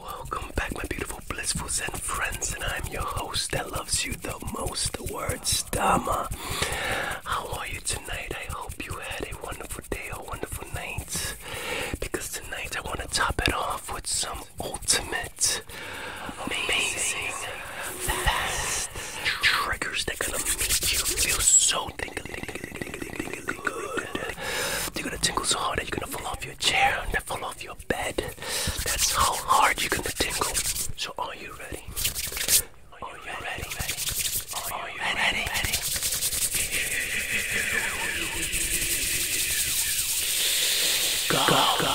Welcome back, my beautiful, blissful Zen friends, and I'm your host that loves you the most, the word Stama. How are you tonight? I hope you had a wonderful day, a wonderful night, because tonight I want to top it off with some ultimate, amazing fast triggers that gonna make you feel so you're gonna tingle so hard that you're gonna fall off your chair and fall off your bed. That's how hard you're gonna tingle. So are you ready? Are you ready? Are you ready? Go,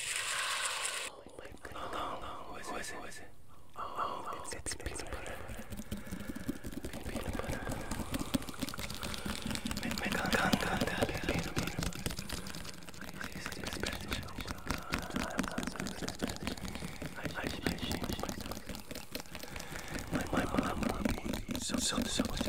No, no, no. Who is it? Who is it? Oh, oh it's, it's peanut butter. Peanut butter. Peanut butter. I changed myself. My mom would be so, so, so much.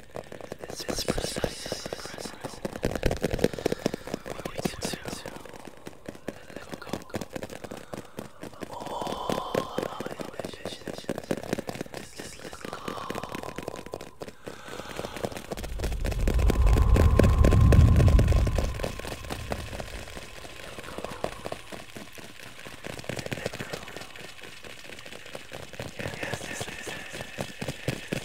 This is precisely where we consume let go, go, go. all of our inhibitions. Just let go. Let go. Yes, yes, yes, yes.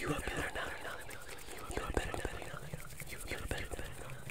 You are better now. You are better now. You are better now. You are better now.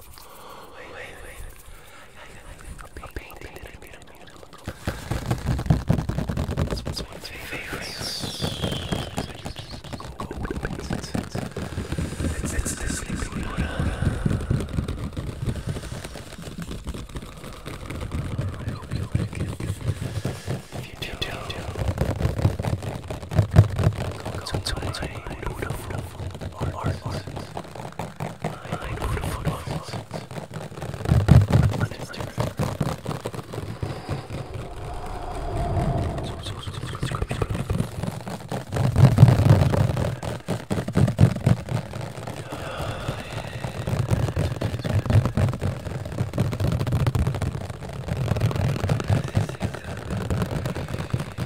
wait, wait. A painting that I made a minute ago. This one's one of my favorites. Gold paintings. It's, it's the sleeping water. I hope you like it. If you do, do concerts I beautiful artists. I beautiful artists. Thank you.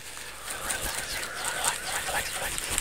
Relax, relax, relax, relax. Stop.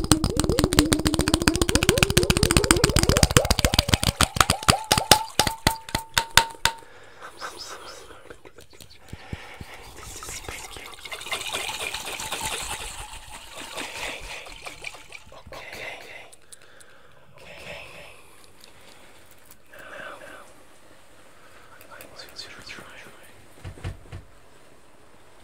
I'm so sorry. This is spanking. Okay. Okay. Okay. Okay. Now, now. I want to try.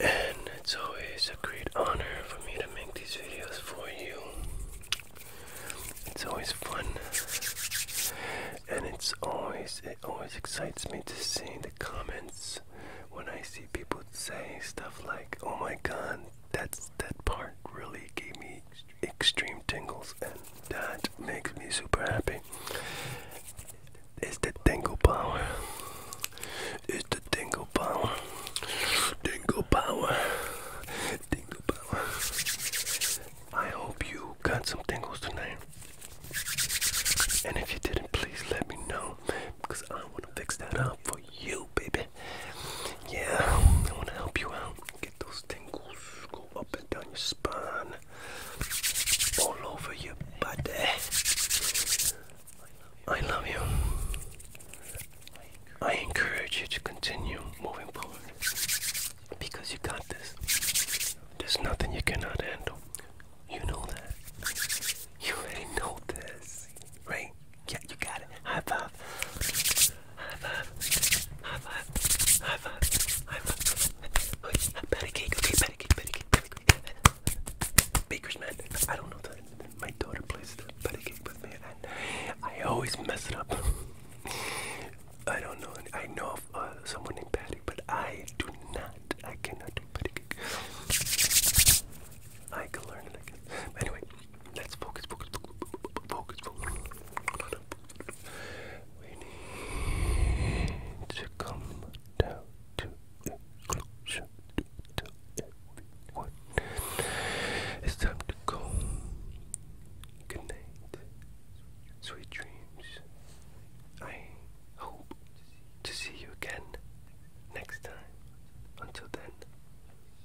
and it's always a great honor for me to make these videos for you. It's always fun, and it's always it always excites me to see the comments when I see people say stuff like, "Oh my God, that's that part really gave me extreme tingles," and that makes me super happy. It's the tingle power. It's the tingle power. Tingle power. Tingle power. I hope you got some tingles tonight. And if you didn't, please let me know because I want to fix that up for you, baby. Yeah, I want to help you out. Get those tingles go up and down your spine, all over your body. I love you. I encourage you to continue moving forward because you got this. There's nothing you cannot handle. You know that. You already know this, right? Yeah, you got it. High five. High five. High five. High five. High five. Better cake. Okay, better cake. Better cake. Baker's man. I don't know that. My daughter plays the patty cake with me, and I always mess it up. I don't know. I know of uh, someone named Patty, but I do not. I cannot do patty cake. I can learn it, I guess. Anyway, let's focus, focus, focus. We need to come down to it's time to go. Good night. Sweet dreams. I hope to see you again next time. Until then,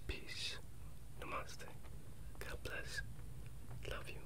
peace. Namaste. God bless. Love you.